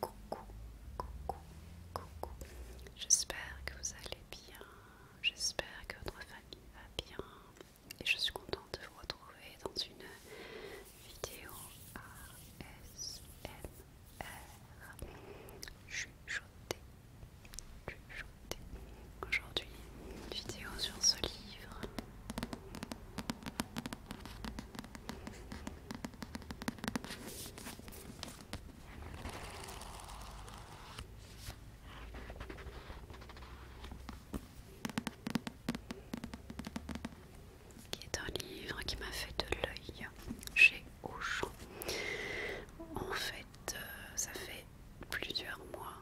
Coucou, coucou, coucou. J'espère que vous allez bien. J'espère que votre famille va bien. Et je suis contente de vous retrouver dans une vidéo ASMR. je chuchoter. Aujourd'hui, vidéo sur ce livre qui est un livre qui m'a fait de l'œil chez Auchan. En fait, euh, ça fait plusieurs mois,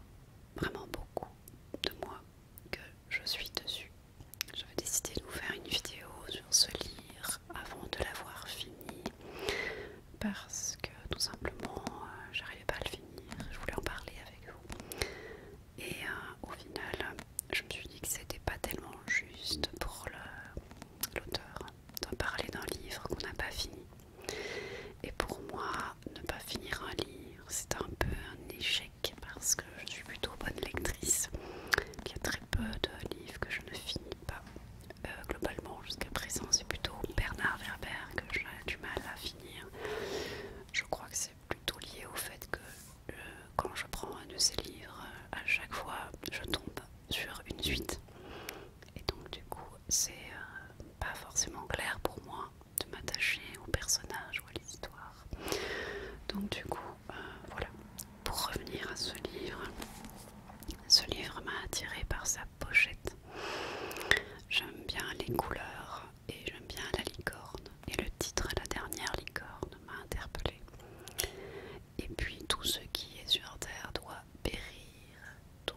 vraiment beaucoup de mois que je suis dessus. vais décider de vous faire une vidéo sur ce livre avant de l'avoir fini parce que tout simplement euh, j'arrivais pas à le finir, je voulais en parler avec vous. Et euh, au final, je me suis dit que c'était pas tellement juste pour l'auteur de parler d'un livre qu'on n'a pas fini. Et pour moi, ne pas finir un livre, c'est un peu un échec parce que je suis plutôt bonne lectrice. qu'il y a très peu de livres que je ne finis pas. Euh, globalement, jusqu'à présent, c'est plutôt Bernard Werber que j'ai du mal à finir. Je crois que c'est plutôt lié au fait que euh, quand je prends un de ces livres, à chaque fois, je tombe sur une suite. Et donc, du coup, c'est euh, pas forcément clair pour moi de m'attacher au personnage ou à l'histoire. Donc du coup, euh, voilà. Pour revenir à ce livre, ce livre m'a attiré par sa pochette. J'aime bien les couleurs et j'aime bien la licorne. Et le titre La dernière licorne m'a interpellée. Et puis tout ce qui est sur Terre doit périr. Tout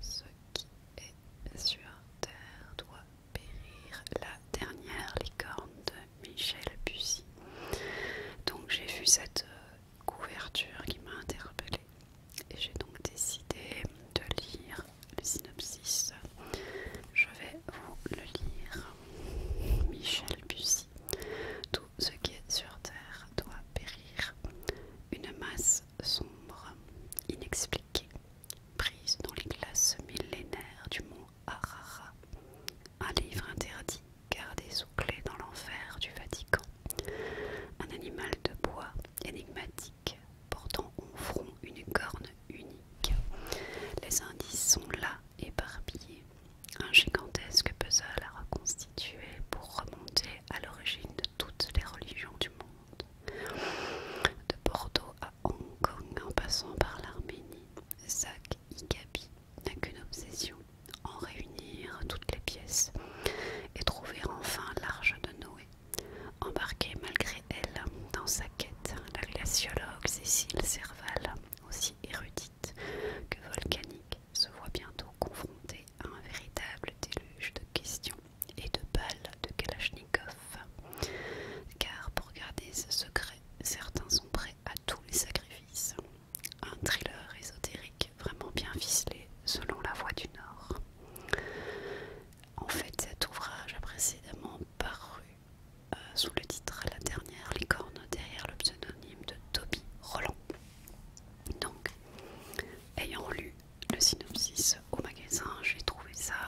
ce qui est sur Terre doit périr la dernière licorne de Michel Bussy. Donc j'ai vu cette euh, couverture qui m'a interpellée et j'ai donc décidé de lire le synopsis. Je vais vous le lire. Michel Bussy. Tout ce qui est sur Terre doit périr. Une masse sombre, inexpliquée, prise dans les glaces millénaires du monde un livre interdit gardé sous clé dans l'enfer du Vatican, un animal de bois énigmatique portant au front une corne unique. Les indices sont là, éparpillés. Un gigantesque puzzle à reconstituer pour remonter à l'origine de toutes les religions du monde. De Bordeaux à Hong Kong en passant par l'Arménie, Zach Igabi n'a qu'une obsession, en réunir toutes les pièces et trouver enfin l'arche de Noé, embarquée malgré elle dans sa quête, la glaciologue Cécile Serval, aussi érudite que volcanique, se voit bientôt confrontée à un véritable déluge de questions et de balles de Kalachnikov. Car pour garder ce secret, certains sont prêts à tous les sacrifices. Un thriller ésotérique vraiment bien ficelé selon la voix du Nord. En fait, cet ouvrage a précédemment paru euh, sous le titre La dernière licorne derrière le pseudonyme de Toby Roland. Donc, ayant lu le synopsis au magasin, j'ai trouvé ça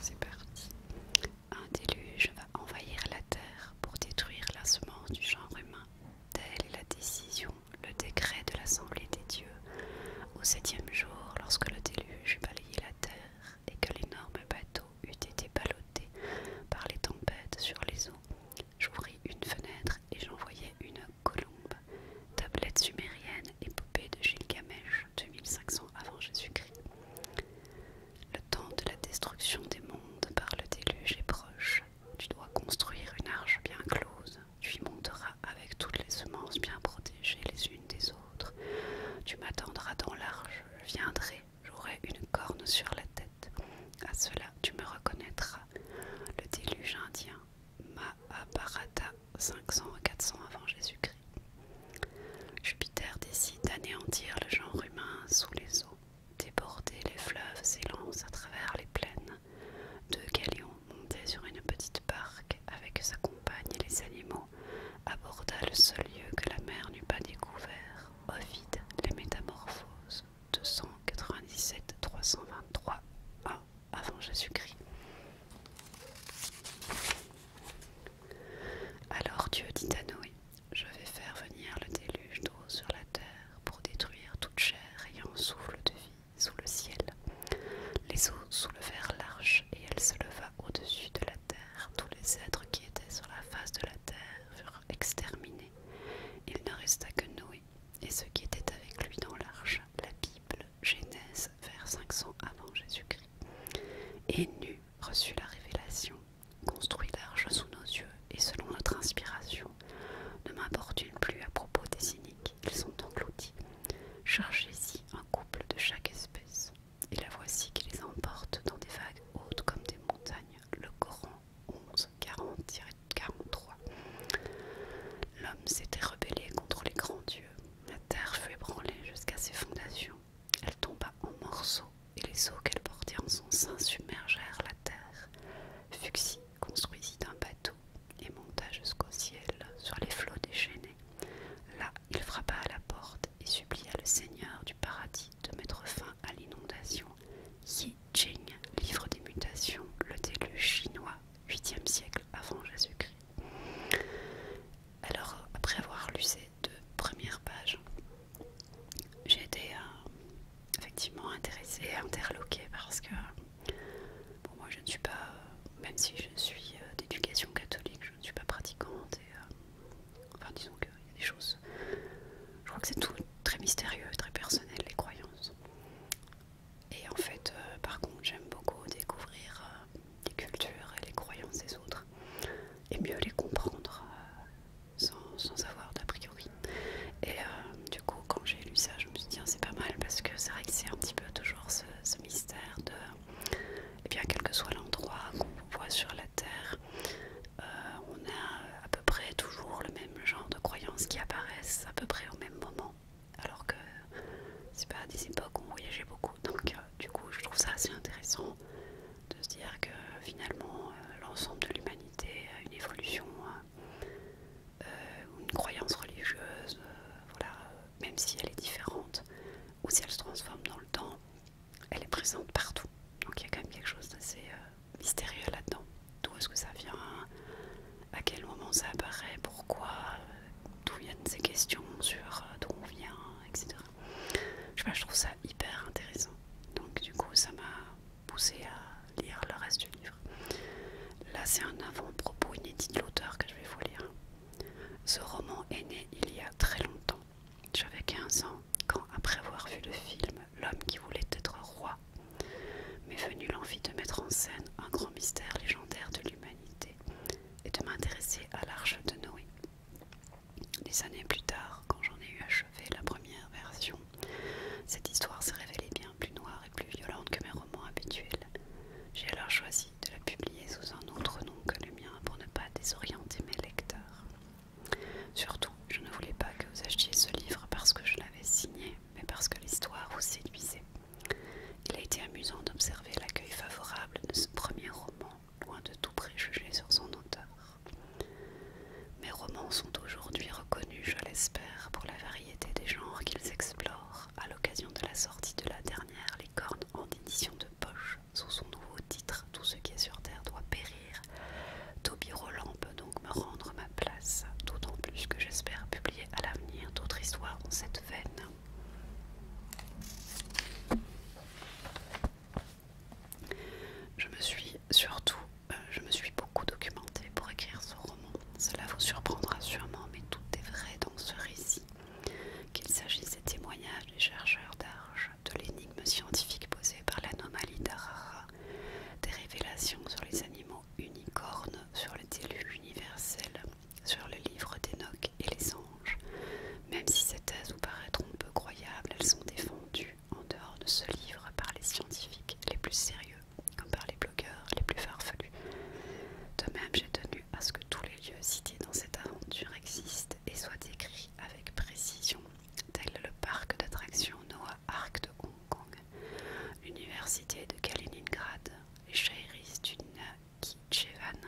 C'est parti. Un déluge va envahir la terre pour détruire la semence du genre humain. Telle est la décision, le décret de l'Assemblée des dieux, au septième jour, lorsque le déluge balayait la terre et que l'énorme bateau eût été ballotté par les tempêtes sur les eaux, j'ouvris une fenêtre et j'envoyai une colombe, tablette sumérienne, épopée de Gilgamesh, 2500 avant Jésus-Christ. Le temps de la destruction des mondes par le déluge est proche. Tu dois construire une arche bien close. Tu y monteras avec toutes les semences bien protégées les unes des autres. Tu m'attendras dans l'arche, je viendrai, j'aurai une corne sur la tête. À cela, tu me reconnaîtras. Le déluge indien, Mahabharata 500 à 400 avant Jésus-Christ. Jupiter décide d'anéantir le genre humain sous les eaux. déborder les fleuves s'élancent à travers les plaines. Deux galions montés sur une petite barque avec sa compagne et les animaux, aborda le seul lieu que la mer n'eût pas découvert, Ovide, les Métamorphoses, 297-323 a avant Jésus-Christ. Alors Dieu dit à Noé, je vais faire venir le déluge d'eau sur la terre pour détruire toute chair ayant souffle de vie sous le ciel. Les eaux sous le verre l'arche et elle se leva au-dessus de la terre. Tous les êtres qui étaient sur la face de la terre furent exterminés. Il ne resta que Noé et ceux qui étaient avec lui dans l'arche. La Bible, Genèse, vers 500 avant Jésus-Christ. Et Nu reçut la révélation, construit l'arche sous nos yeux et selon notre inspiration. Ne m'importune plus à propos des cyniques, ils sont engloutis. chargez y un couple de chaque espèce et la voici qui les emporte dans des vagues hautes comme des montagnes. Le Coran 11, 40-43. L'homme s'était rebellé contre les grands dieux. La terre fut ébranlée jusqu'à ses fondations. Elle tomba en morceaux et les eaux qu'elle portait en son sein submergèrent la terre. Fuxi construisit un bateau et monta jusqu'au ciel sur les flots déchaînés. Là, il frappa à la porte et supplia le Seigneur du paradis de mettre fin à l'inondation. Yi Jing, livre des mutations, le déluge chinois, 8e siècle avant Jésus-Christ. Alors, après avoir lu ces deux premières pages, j'ai été euh, effectivement intéressée et interloquée parce que, pour moi je ne suis pas, euh, même si je suis euh, d'éducation catholique, je ne suis pas pratiquante. Et, euh, enfin, disons qu'il y a des choses. Je crois que c'est tout très mystérieux, très personnel, les croyances. Et en fait, euh, par contre, j'aime beaucoup découvrir euh, les cultures et les croyances des autres et mieux les comprendre sans, avoir d'a priori. Et du coup, quand j'ai lu ça, je me suis dit, c'est pas mal parce que c'est vrai que c'est un petit peu toujours ce mystère de et eh bien, quel que soit l'endroit qu'on voit sur la Terre, euh, on a euh, à peu près toujours le même genre de croyances qui apparaissent à peu près au même moment. Alors que c'est pas à des époques où on voyageait beaucoup. Donc, euh, du coup, je trouve ça assez intéressant de se dire que finalement, l'ensemble de l'humanité a une évolution. une croyance religieuse, voilà, même si elle est différente, ou si elle se transforme dans le temps, elle est présente partout. Donc il y a quand même quelque chose d'assez euh, mystérieux là-dedans. D'où est-ce que ça vient À quel moment ça apparaît Pourquoi D'où viennent ces questions sur euh, d'où on vient, etc. Je sais pas, je trouve ça hyper intéressant. Donc du coup, ça m'a poussé à lire le reste du livre. Là, c'est un avant-propos inédit de l'auteur que je vais vous lire. Ce roman est né il y a très longtemps. J'avais 15 ans quand, après avoir vu le film L'homme qui voulait être roi, m'est venu l'envie de mettre en scène un grand mystère légendaire de l'humanité et de m'intéresser à l'arche de Noé. Des années plus tard, quand j'en ai eu achevé la première version, cette histoire s'est révélée bien plus noire et plus violente que mes romans habituels. J'ai alors choisi de la publier sous un autre nom que le mien pour ne pas désorienter mes lecteurs. Surtout, je ne voulais pas que vous achetiez ce livre parce que je l'avais signé, mais parce que l'histoire vous séduisait. Il a été amusant d'observer l'accueil favorable de ce premier roman, loin de tout préjugé sur son auteur. Mes romans sont aujourd'hui reconnus, je l'espère, pour la variété des genres qu'ils explorent à l'occasion de la sortie de la dernière les cornes en édition de poche sous son nouveau titre Tout ce qui est sur terre doit périr. Toby Roland peut donc me rendre ma place, d'autant plus que j'espère publier à l'avenir d'autres histoires en cette veine. Je me suis surtout, euh, je me suis beaucoup documentée pour écrire ce roman. Cela vous surprendra sûrement, mais tout est vrai dans ce récit qu'il s'agisse des témoignages des chercheurs d'Arche, de l'énigme scientifique posée par l'anomalie d'Arara, des révélations sur les animaux unicornes, sur le déluge universel, sur le livre d'Enoch et les anges. Même si ces thèses vous paraîtront peu croyables, elles sont défendues en dehors de ce livre par les scientifiques les plus sérieux, comme par les blogueurs les plus farfelus. De même, j'ai tenu parce que tous les lieux cités dans cette aventure existent et soient écrits avec précision, tels le parc d'attractions Noah Ark de Hong Kong, l'université de Kaliningrad, les Shairis du Kichevan,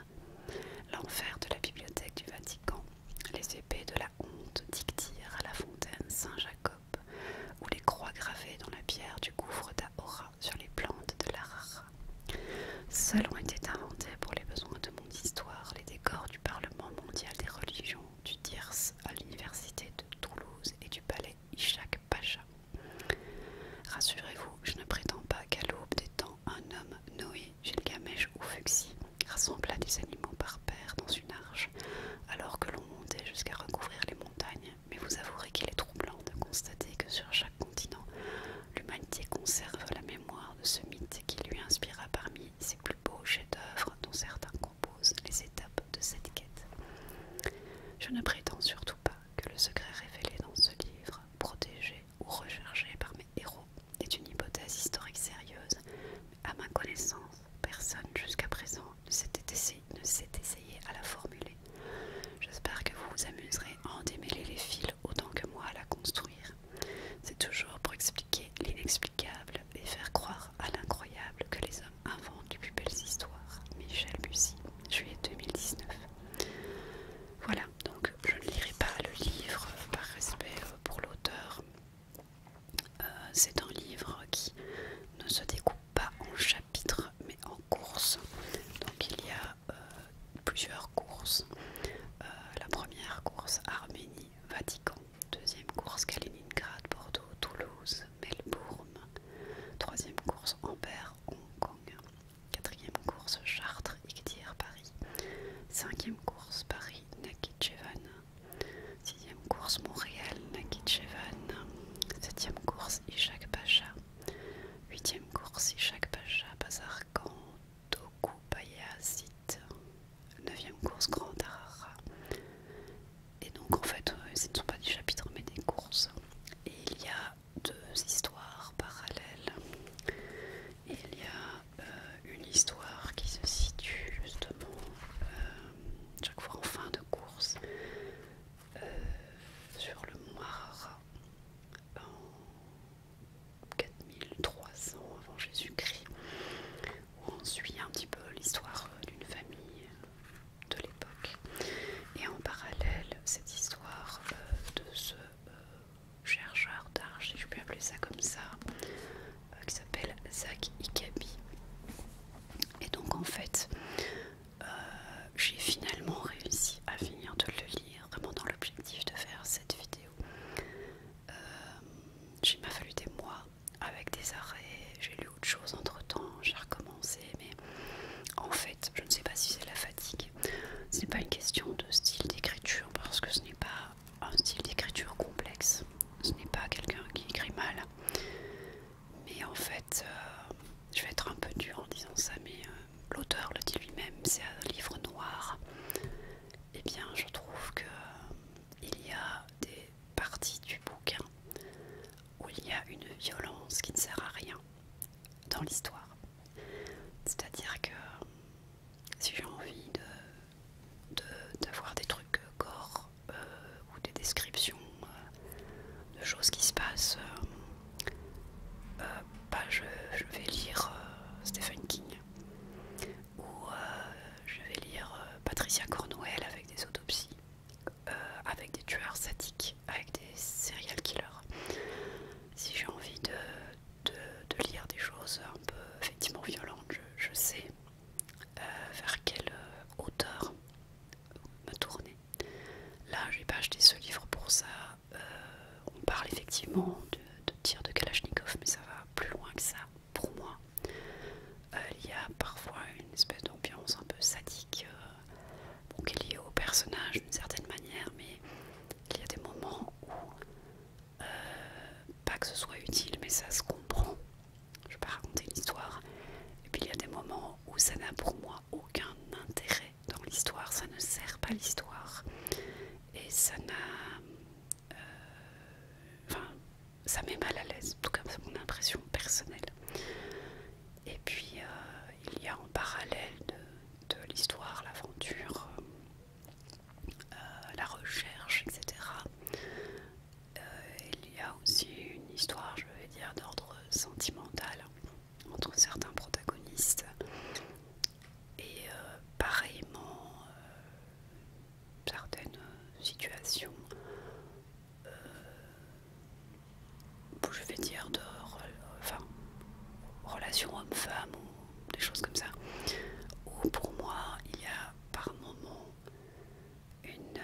l'enfer de la bibliothèque du Vatican, les épées de la honte d'Ictyre à la fontaine Saint-Jacob, ou les croix gravées dans la pierre du gouffre d'Ahora sur les plantes de Rara. Seuls ont été inventés pour les besoins de mon histoire les décors du Parlement mondial des religions, du Diers à l'université de Toulouse et du palais Ishaq Pacha. Rassurez-vous, je ne prétends pas qu'à l'aube des temps, un homme, Noé, Gilgamesh ou Fuxi, rassembla des animaux par paire dans une arche, alors que l'on montait jusqu'à recouvrir les montagnes, mais vous avouerez qu'il est troublant de constater que sur chaque l'humanité conserve la mémoire de ce mythe qui lui inspira parmi ses plus beaux chefs-d'œuvre dont certains composent les étapes de cette quête. Je ne prétends surtout pas que le secret révélé dans ce livre, protégé ou recherché par mes héros, est une hypothèse historique sérieuse, mais à ma connaissance, personne jusqu'à présent ne s'est essayé à la formuler J'espère que vous vous amuserez à en démêler les fils autant que moi à la construire. C'est toujours pour expliquer l'inexplicable et faire croire à l'incroyable que les hommes inventent les plus belles histoires. Michel Bussy, juillet 2019. Voilà, donc je ne lirai pas le livre par respect euh, pour l'auteur. Euh, c'est un livre qui ne se découpe pas en chapitres mais en courses Donc il y a euh, plusieurs courses. Euh, la première course Arménie, Vatican. Deuxième course Kaliningrad, Bordeaux, Toulouse, Melbourne. Troisième course Amber, Hong Kong. Quatrième course Chartres, Igdir, Paris. Cinquième course Paris, Nakhichevan. Sixième course Montréal, Nakhichevan. Septième course Ishak Pacha. 8 Huitième course, Ishak Pacha, Bazarkan, Doku, 9 Neuvième course, Grand Arara Et donc en fait, euh, ce ne sont pas des chapitres mais des courses. Et il y a deux histoires parallèles. Il y a euh, une histoire qui se situe justement euh, chaque fois en fin de course sur le Arara en 4300 avant Jésus-Christ, où on suit un petit peu l'histoire d'une famille de l'époque. Et en parallèle, cette histoire euh, de ce euh, chercheur d'art, si je peux appeler ça comme ça, euh, qui s'appelle Zach Ikabi. Et donc en fait, euh, j'ai finalement réussi à finir de le lire, vraiment dans l'objectif de faire cette vidéo. Euh, Il m'a fallu des mois avec des arrêts, j'ai lu autre chose entre temps, j'ai recommencé, mais en fait, je ne sais pas si c'est la fatigue. C'est pas une question de style d'écriture parce que ce n'est pas un style d'écriture complexe. Ce n'est pas quelqu'un qui écrit mal. Mais en fait, euh, je vais être un peu dur en disant ça, mais euh, l'auteur le dit lui-même, c'est un livre noir. Et eh bien, je trouve que euh, il y a des parties du bouquin où il y a une violence qui ne sert à rien dans l'histoire. C'est-à-dire que euh, si j'ai envie de d'avoir des trucs corps ou des descriptions de choses qui se passent. Euh, euh, bah, je, vais lire euh, Stephen King ou je vais lire Patricia Cornwell avec des autopsies, avec des tueurs sadiques, avec des serial killers. Si j'ai envie de, lire des choses un peu effectivement violentes, je, sais vers quelle auteur me tourner. Là, je n'ai pas acheté ce livre pour ça. Euh, on parle effectivement de, tir de Kalachnikov, mais ça va plus loin que ça pour moi. Euh, il y a parfois une espèce d'ambiance un peu sadique, euh, qui est liée au personnage d'une certaine manière, mais il y a des moments où, pas que ce soit utile, mais ça se comprend. Je vais pas raconter l'histoire. Et puis il y a des moments où ça n'a pour moi aucun intérêt dans l'histoire, ça ne sert pas l'histoire et ça n'a. Euh, enfin, ça met mal à l'aise, en tout cas, c'est mon impression personnelle. Et puis, euh, il y a en parallèle de, l'histoire, l'aventure, euh, la recherche, etc. il y a aussi une histoire, je vais dire, d'ordre sentimental entre certains protagonistes et euh, pareillement euh, certaines euh, situations je vais dire de relations homme-femme ou des choses comme ça où pour moi il y a par moments, une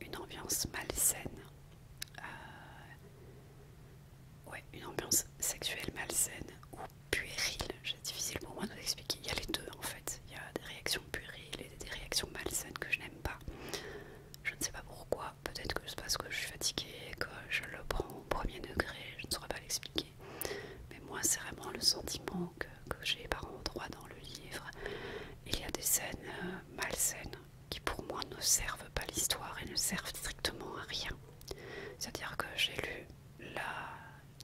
une ambiance malsaine. Euh, ouais, une ambiance sexuelle malsaine ou puérile. C'est difficile pour moi de vous expliquer. Il y a les deux en fait. Il y a des réactions puériles et des réactions malsaines que je n'aime pas. Je ne sais pas pourquoi. Peut-être que c'est parce que je suis fatiguée, que je le prends au premier degré. Je ne saurais pas l'expliquer. Mais moi, c'est vraiment le sentiment que, j'ai par endroit dans le livre. Il y a des scènes euh, malsaines qui pour moi ne servent pas l'histoire et ne servent strictement à rien. C'est-à-dire que j'ai lu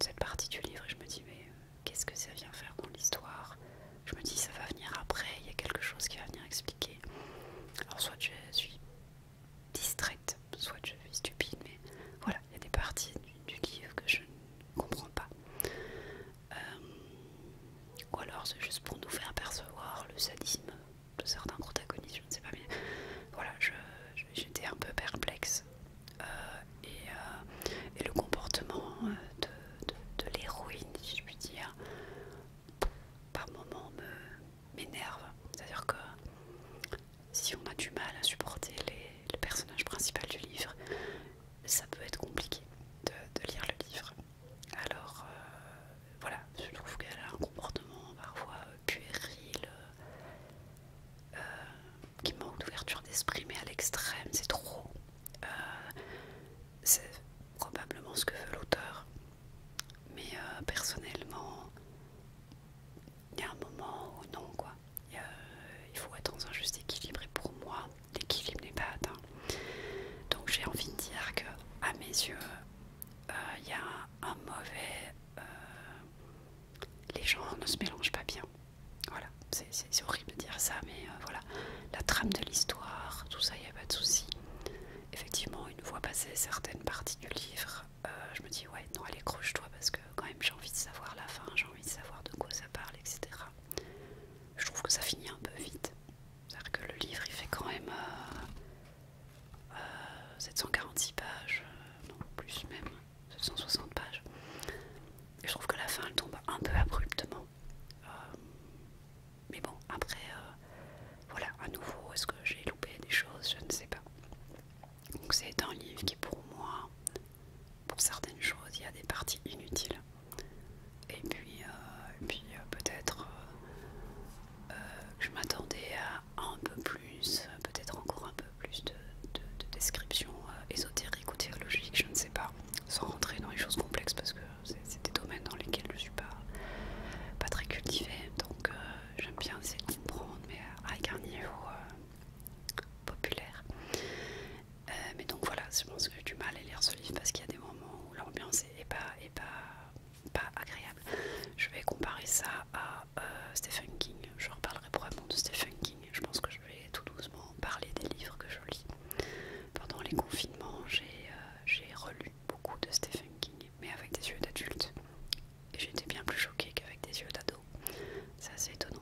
cette partie du livre et je me dis mais euh, qu'est-ce que ça vient faire pour l'histoire Je me dis ça va venir après, il y a quelque chose qui va venir expliquer. Alors soit je suis distraite, soit je suis stupide, mais voilà, il y a des parties du livre que je ne comprends pas. Euh, ou alors c'est juste pour nous faire percevoir le sadisme de certains protagonistes, je ne sais pas bien. Voilà, j'étais un peu perplexe. Euh, euh, et, le comportement de, l'héroïne, si je puis dire, par moments m'énerve. C'est-à-dire que si on a du mal à supporter les, le personnage principal du livre, ça peut être compliqué de lire le livre. Alors euh, voilà, je trouve qu'elle a un comportement parfois euh, puéril, euh, qui manque d'ouverture d'esprit, mais à l'extrême, c'est trop. c'est probablement ce que veut l'auteur. Mais personnellement, il y a un moment où non, quoi. Il, faut être dans un juste équilibre. pour moi, l'équilibre n'est pas atteint. Donc j'ai envie de dire que, à mes yeux, il euh, y a un, mauvais. Euh, les gens ne se mélangent pas bien. Voilà, c'est horrible de dire ça, mais euh, voilà. La trame de l'histoire, tout ça, il n'y a pas de souci. Effectivement, une fois passé certaines parties du livre, je me dis, ouais, non, allez, croche-toi, parce que quand même, j'ai envie de savoir la fin, j'ai envie de savoir de quoi ça parle, etc. Je trouve que ça finit un peu vite. C'est-à-dire que le livre il fait quand même 746 euh, euh, pages, euh, non plus même, 760 pages. Et je trouve que la fin elle tombe un peu abruptement. mais bon, après, voilà, à nouveau, est-ce que j'ai loupé des choses Je ne sais pas. Donc c'est un livre qui pour moi, pour certaines choses, il y a des parties inutiles. Et puis, euh, puis euh, peut-être que euh, je m'attendais à un peu plus, peut-être encore un peu plus de, description descriptions ou théologiques, je ne sais pas, sans rentrer dans les choses complexes parce que c'est des domaines dans lesquels je ne suis pas, pas très cultivée. Donc j'aime bien essayer de comprendre, mais avec un niveau populaire. Euh, mais donc voilà, je pense que j'ai du mal à lire ce livre parce qu'il y a des moments où l'ambiance est pas, est pas, pas agréable. Je vais comparer ça à euh, Stephen King. Je reparlerai probablement de Stephen King. Je pense que je vais tout doucement parler des livres que je lis. Pendant les confinements, j'ai euh, relu beaucoup de Stephen King, mais avec des yeux d'adulte. Et j'étais bien plus choquée qu'avec des yeux d'ado. C'est assez étonnant.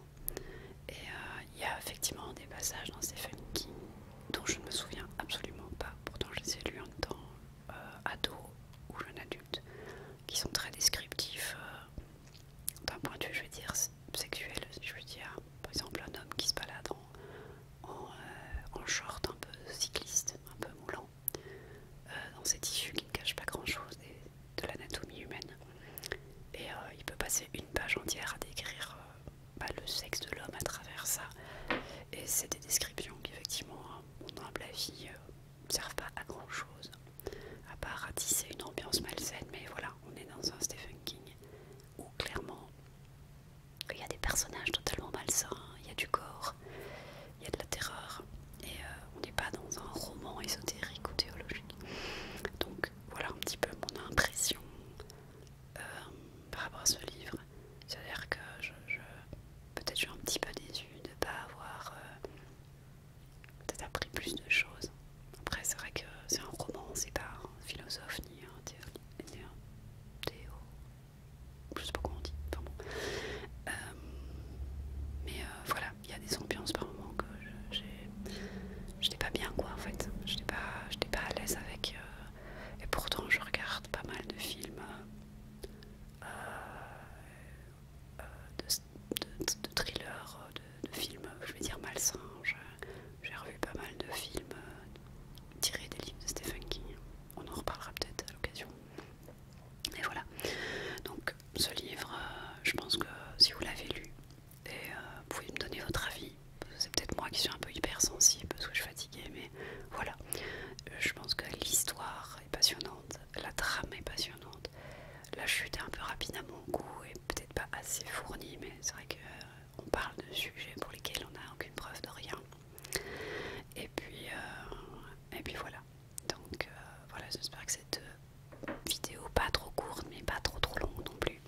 Il y a effectivement des passages dans ces films dont je ne me souviens absolument pas, pourtant je les ai lus en temps euh, ado ou jeune adulte, qui sont très descriptifs euh, d'un point de vue, je veux dire, sexuel. Je veux dire, par exemple, un homme qui se balade en, euh, short un peu cycliste, un peu moulant, dans ses tissus qui ne cachent pas grand-chose de l'anatomie humaine. Et il peut passer une page entière à décrire bah, le sexe de l'homme à travers ça. Et c'est des descriptions qui, effectivement, mon hein, humble avis, euh, ne servent pas à grand chose, à part à tisser une ambiance malsaine. Mais voilà, on est dans un Stephen King où clairement il y a des personnages totalement malsains, il y a du corps, il y a de la terreur, et euh, on n'est pas dans un roman ésotérique ou théologique. Donc voilà un petit peu mon impression euh, par rapport à ce livre. C'est-à-dire que je, peut-être je suis un petit peu déçue de ne pas avoir euh, peut-être appris plus de choses. Après, c'est vrai que c'est un roman, c'est pas un philosophe ni un théo. je sais pas comment on dit. Euh, mais voilà, il y a des ambiances par moments que j'ai je j'étais pas bien quoi en fait, Je pas, pas à l'aise avec euh, et pourtant je regarde pas mal de films euh, euh, de, de, thrillers, de, films je vais dire malsains, j'ai revu pas mal de films tirés des livres de Stephen King, on en reparlera peut-être à l'occasion et voilà, donc ce livre je pense que si vous l'avez lu et euh, vous pouvez me donner votre avis. C'est peut-être moi qui suis un peu hypersensible parce que je suis fatiguée, mais voilà. Euh, je pense que l'histoire est passionnante, la trame est passionnante. La chute est un peu rapide à mon goût et peut-être pas assez fournie, mais c'est vrai qu'on euh, parle de sujets pour lesquels on n'a aucune preuve de rien. Et puis, et puis voilà. Donc voilà, j'espère que cette vidéo, pas trop courte, mais pas trop trop longue non plus,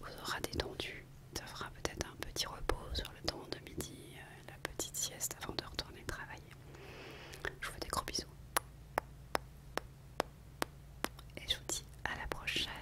vous euh, aura détendu. Ça fera peut-être un petit repos sur le temps de midi, euh, la petite sieste avant de retourner travailler. Je vous fais des gros bisous. Et je vous dis à la prochaine.